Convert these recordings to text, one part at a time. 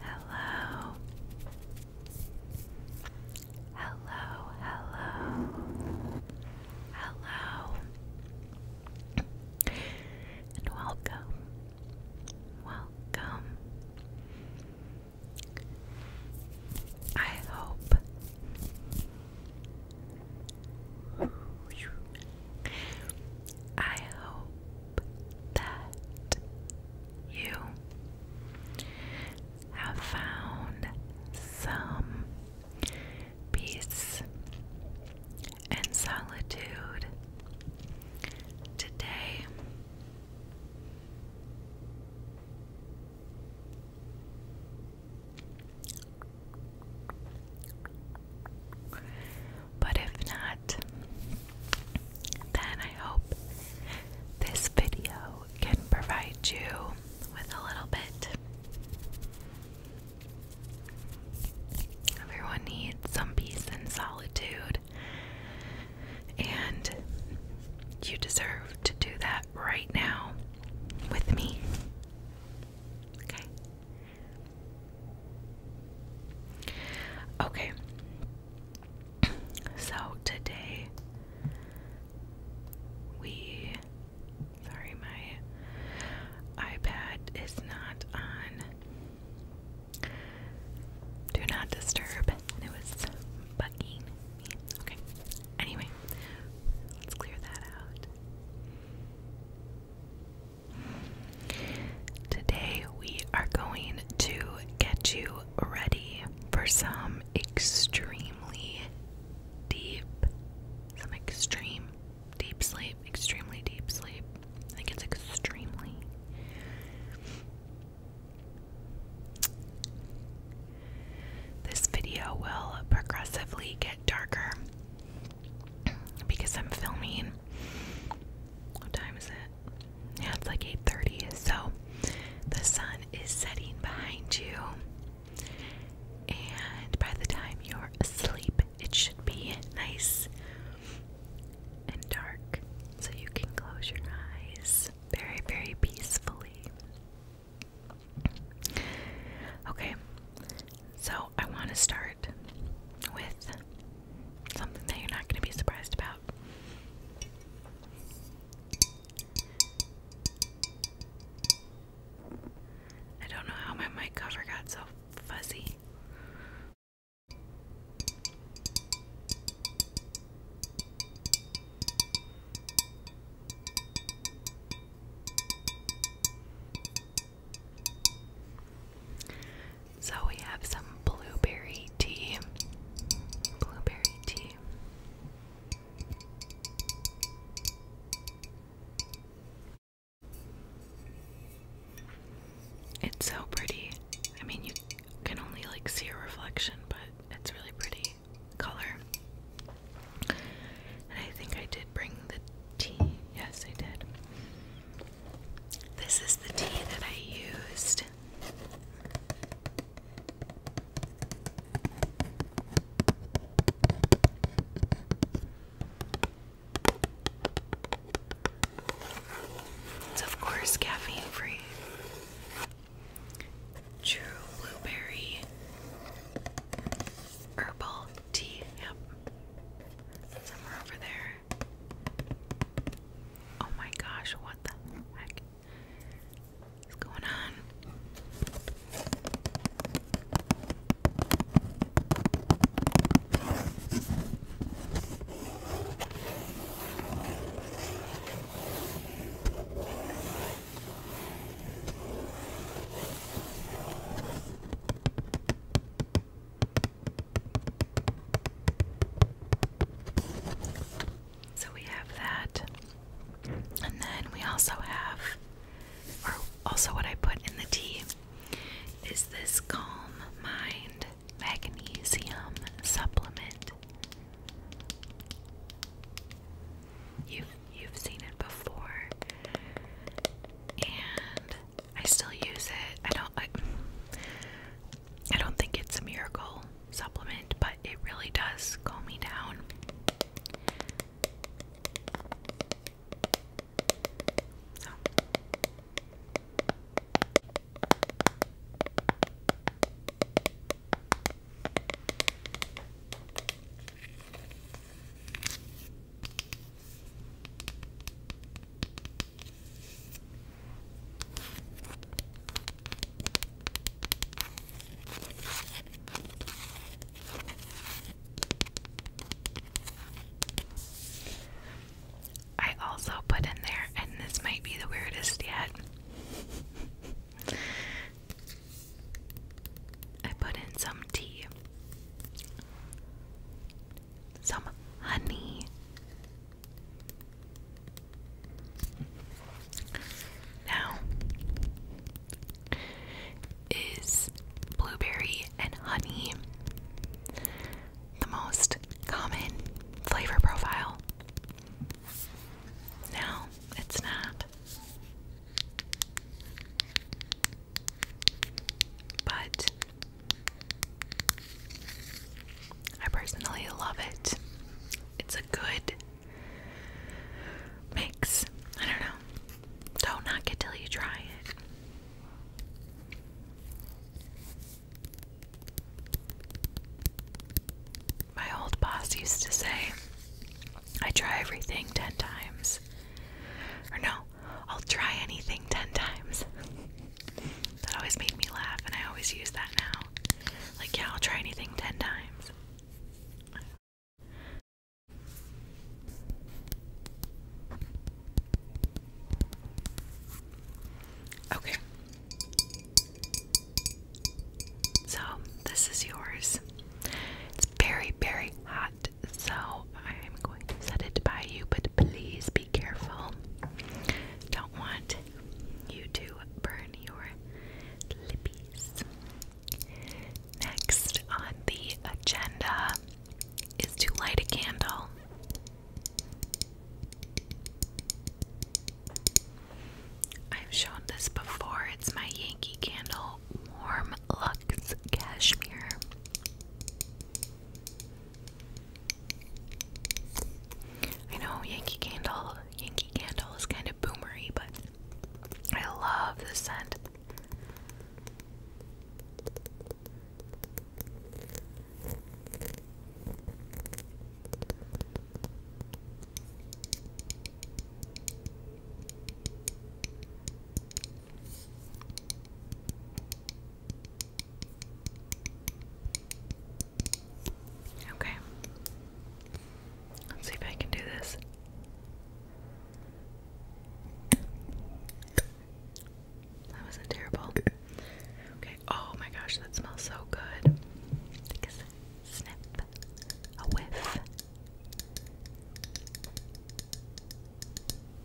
Hello. Hello, hello. Hello. And welcome. Welcome. I hope I hope that you have found some peace and solitude today. But if not, then I hope this video can provide you with a little bit. Everyone needs some peace and solitude, and you deserve to do that right now with me. Okay? Okay. So today we sorry my iPad is not on do not disturb and it was bugging me. Okay. Anyway, let's clear that out. Today, we are going to get you ready for some extremely deep, some extreme deep sleep, extremely deep sleep. I think it's extremely. This video will progressively get darker because I'm filming what time is it? it's like 8:30. So the sun is setting behind you. And by the time you're asleep, it should be nice and dark. So you can close your eyes very, very peacefully. Okay, so I want to start with something that you're not going to be surprised about. I don't know how my mic cover got so fuzzy. So we have some blueberry tea. Blueberry tea. It's so pretty. I mean, you can only like see a reflection, but it's really pretty color. And I think I did bring the tea. Yes, I did. This is the tea that I used. It's of course caffeine free. True blueberry herbal tea. Yep. Somewhere over there. Oh my gosh, what the heck is going on? So we have that. And then we also have, or also what I put in the tea is this Calm Mind Magnesium Supplement. You've you've seen it before. And I still use it. I don't I, don't think it's a miracle supplement, but it really does calm me down. I also put in there, and this might be the weirdest yet. I put in some tea some honey. Now, is blueberry and honey the most common flavor profile? No, it's not. But I personally love it. It's a good mix. I don't know. Don't knock it till you try it. My old boss used to say, I try everything ten times. Or no, I'll try anything 10 times. that always made me laugh, and I always use that now. Like, yeah, I'll try anything 10 times. Okay. So, this is yours. It's very, very hot so I'm going to set it by you, but please be careful. Don't want you to burn your lippies. Next on the agenda is to light a candle. I've shown this before. It's my Yankee Candle Warm Luxe Cashmere. I know Yankee Candle, Yankee Candle is kind of boomery, but I love the scent. Okay. Let's see if I can do this. That wasn't terrible. Okay. Oh my gosh, that smells so good. Take a snip, a whiff.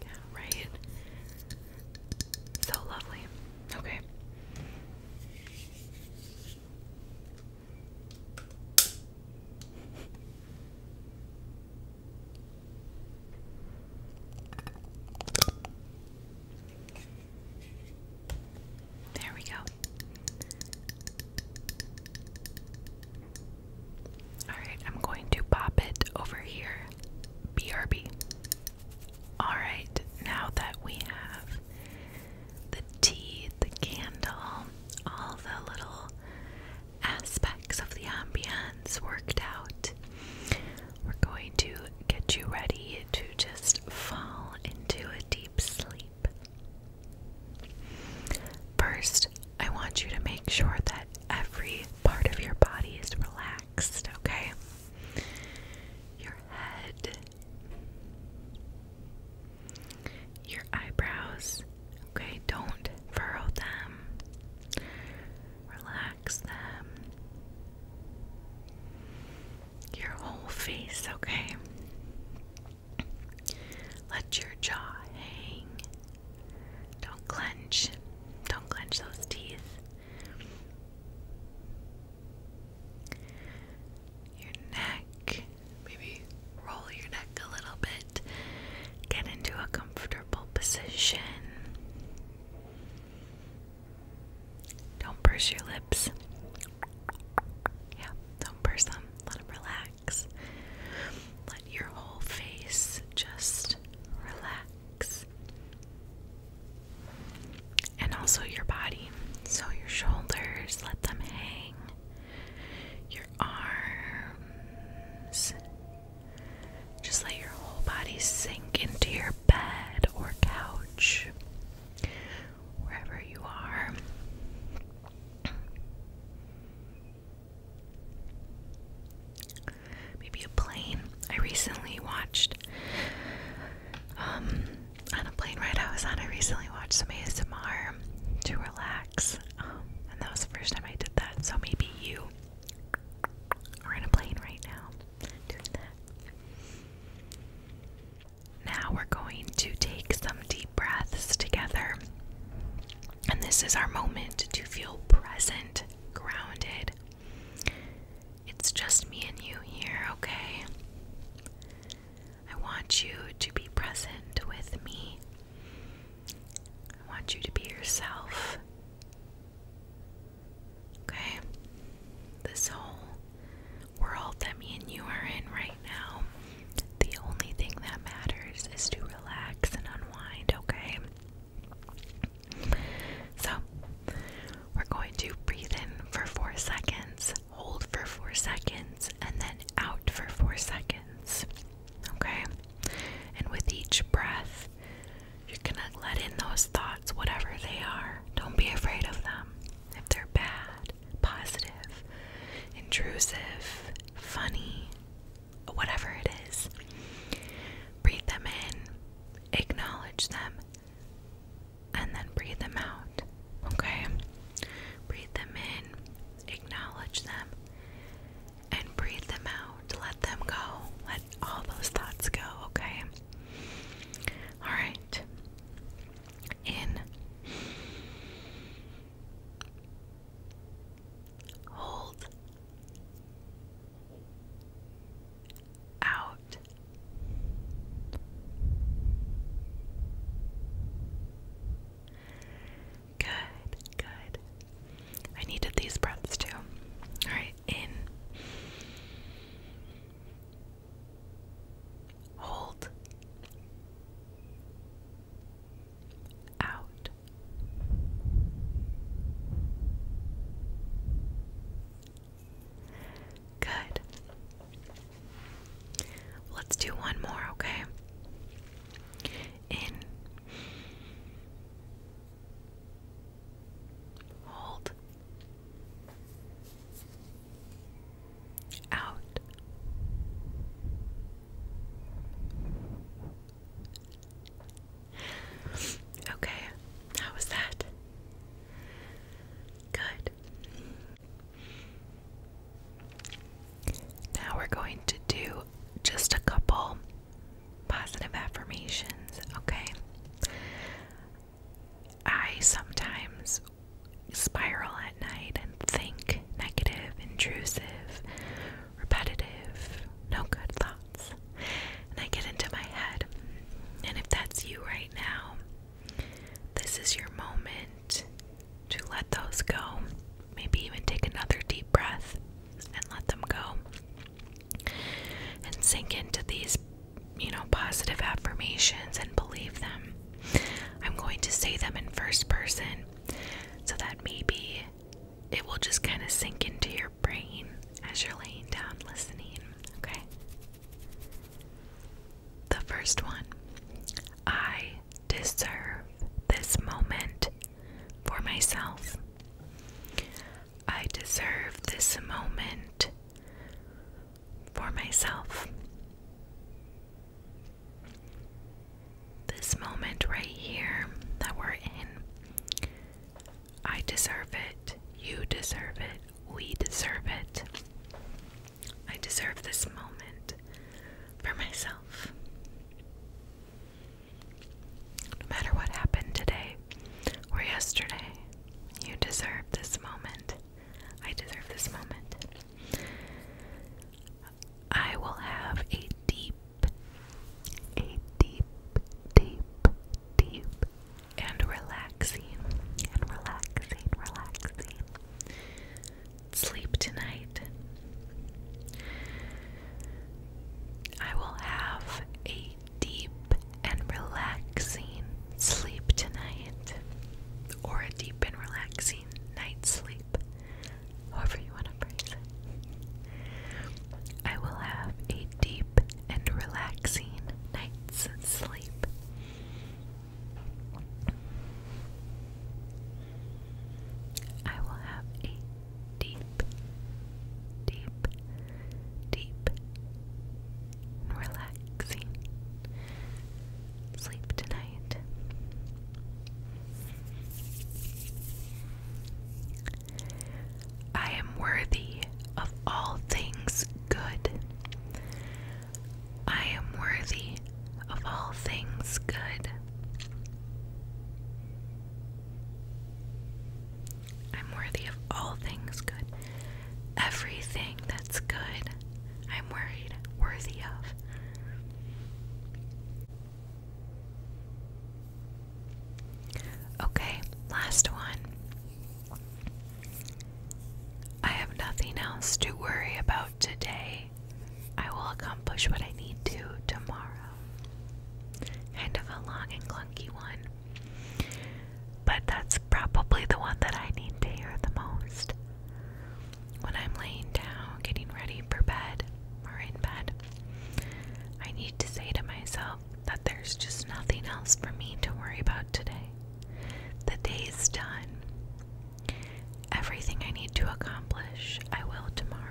Yeah, right? So lovely. Okay. There we go. Alright, I'm going to pop it over here. BRB. Alright, now that we have the tea, the candle, all the little aspects of the ambience worked out, we're going to get you ready to just fall into a deep sleep. First, I want you to make sure that every part of your body is relaxed, okay? Your head, your eyebrows, okay? Don't furrow them, relax them. Your whole face, okay? Let your jaw hang. Don't clench. Don't clench those teeth. Your neck. Maybe roll your neck a little bit. Get into a comfortable position. Don't purse your lips. Yeah, don't purse them. Let them relax your whole face just relax. And also your body. So your shoulders, let them hang. Your arms. Just let your whole body sink into your bed or couch, wherever you are. Maybe a plane. I recently watched um on a plane ride I was on, I recently watched some ASMR to relax. Um, and that was the first time I did that. So maybe you are in a plane right now Now we're going to take some deep breaths together. And this is our moment to feel present grounded. It's just me and you here, okay? I want you to be present with me. I want you to be yourself. Okay? This whole world that me and you are in right now, the only thing that matters is to relax and unwind, okay? So, we're going to breathe in for four seconds, hold for four seconds, and then out for four seconds. Okay? And with each breath, you're gonna let in those thoughts, whatever they are. Don't be afraid of them. If they're bad, positive, intrusive, funny, whatever it is. Breathe them in, acknowledge them, and then breathe them out. Okay? Breathe them in, acknowledge them, and breathe them out. Let them go. Let all those thoughts go, okay? Alright. In. Hold out. Good, good. I needed these breaths too. All right, in. Hold out. Good. Let's do one more, okay? In. Hold. Out. Okay, how was that? Good. Now we're going to do just a couple positive affirmations, okay? I sometimes spiral at night and think negative, intrusive, repetitive, no good thoughts. And I get into my head. And if that's you right now, this is your moment to let those go. Maybe even take another deep breath and let them go. And sink into these, you know, positive affirmations and believe them. I'm going to say them in first person so that maybe it will just kind of sink into your brain as you're laying down listening, okay? The first one I deserve this moment for myself. I deserve this moment for myself this moment right here that we're in. I deserve it. You deserve it. We deserve it. I deserve this moment for myself. No matter what happened today or yesterday, you deserve this moment. I deserve this moment. I will have a deep a deep, deep, deep, and relaxing, and relaxing, relaxing sleep tonight. I will have a deep and relaxing sleep tonight, or a deep and relaxing night's sleep however you want to phrase it. I will have a deep and relaxing night's sleep. I will have a deep, deep, deep, relaxing sleep tonight. I am worthy of all things good. I am worthy of all things good. I'm worthy of all things good. Everything that's good, I'm worried, worthy of. Okay, last one. I have nothing else to worry about today. I will accomplish what I need to tomorrow. Kind of a long and clunky one. But that's probably the one that I need to hear the most. When I'm laying down, getting ready for bed, or in bed, I need to say to myself that there's just nothing else for me to worry about today. The day's done. Everything I need to accomplish, I will tomorrow.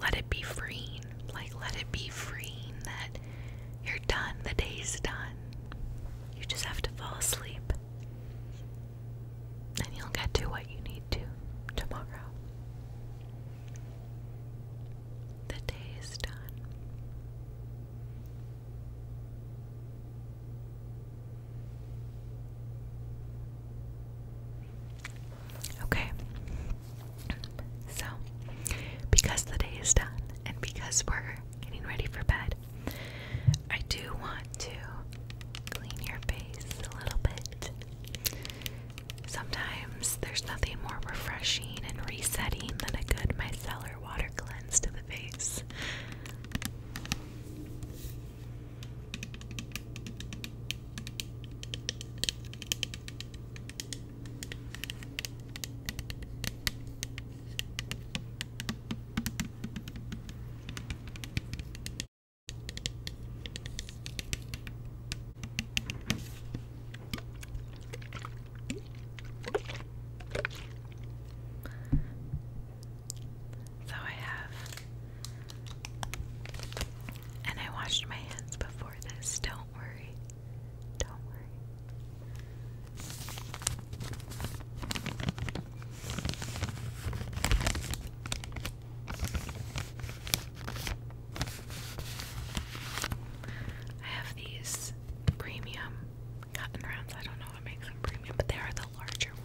Let it be freeing. Like, let it be freeing that you're done. The day's done. You just have to fall asleep and you'll get to what you need to tomorrow. The day is done. Okay. So, because the day is done and because we're getting ready for bed, I do want to clean your face a little bit. Sometimes there's nothing more refreshing and resetting than a good micellar water cleanse to the face. So I have, and I washed my hands before this. Don't worry, don't worry. I have these premium cotton rounds. I don't know what makes them premium, but they are the larger ones.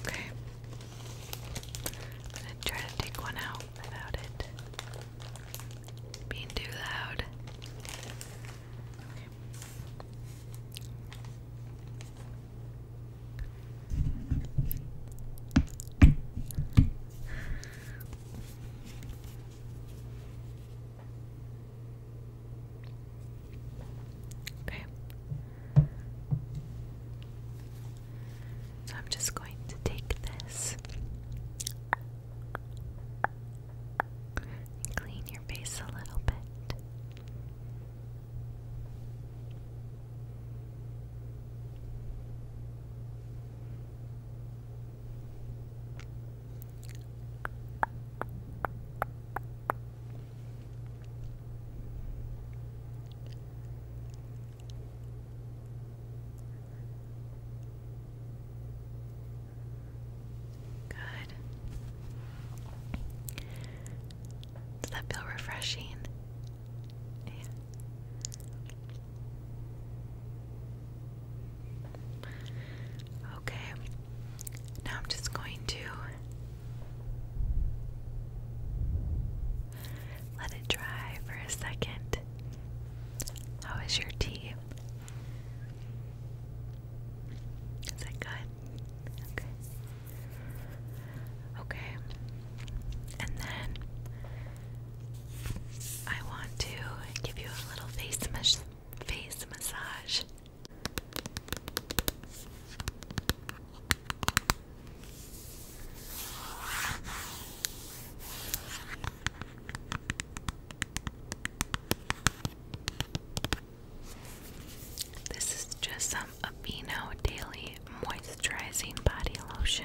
Okay. I'm gonna try to take one out without it being too loud. Okay. So I'm just going to take this clean your face a little bit. Good. Does that feel refreshing? Yeah. Okay, now I'm just going to let it dry for a second. How is your tea? Is it good? Okay. Okay. And then I want to give you a little face face massage. This is just some Aveeno Daily Moisturizing Body Lotion.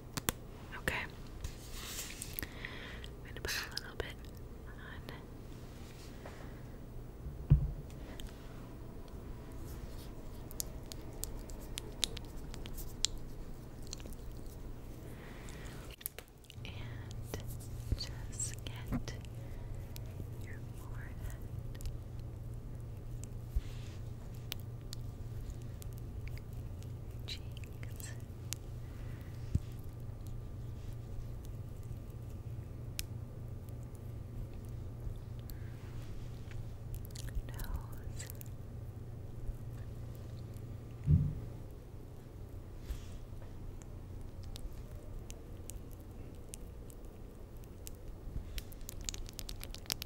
Okay. I'm gonna put a little bit on. And just get your forehead your cheeks. Nose.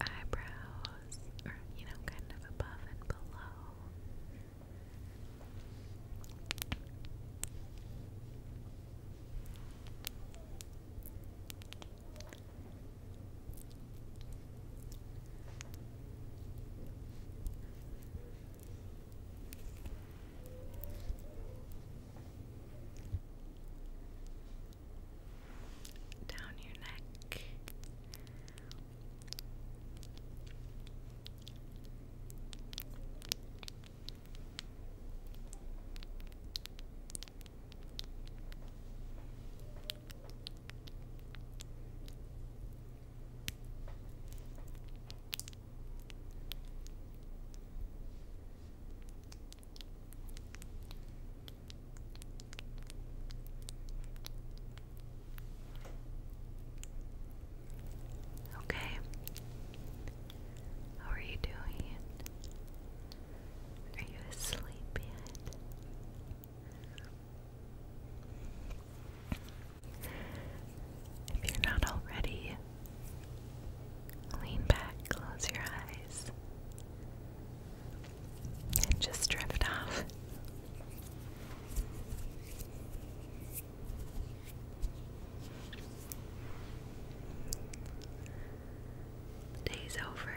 eyebrows, or you know, kind of above and below down your neck. Okay. How are you doing? Are you asleep yet? If you're not already, Lean back, close your eyes, and just drift off. day's over.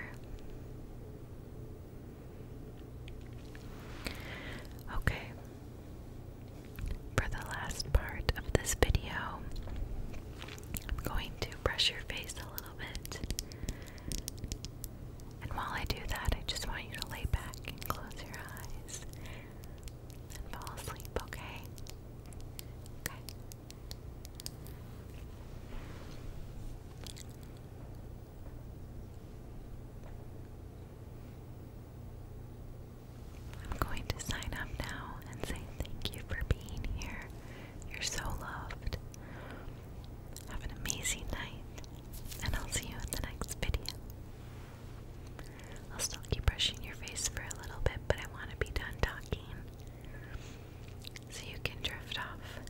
Okay. For the last part of this video, I'm going to brush your face a little bit. And while I do that, I just want you to lay back and close your eyes and fall asleep, okay? Okay. I'm going to sign up now and say thank you for being here. You're so loved. Have an amazing night, and I'll see you in the next video. I'll still keep brushing your face for a little bit, but I want to be done talking so you can drift off.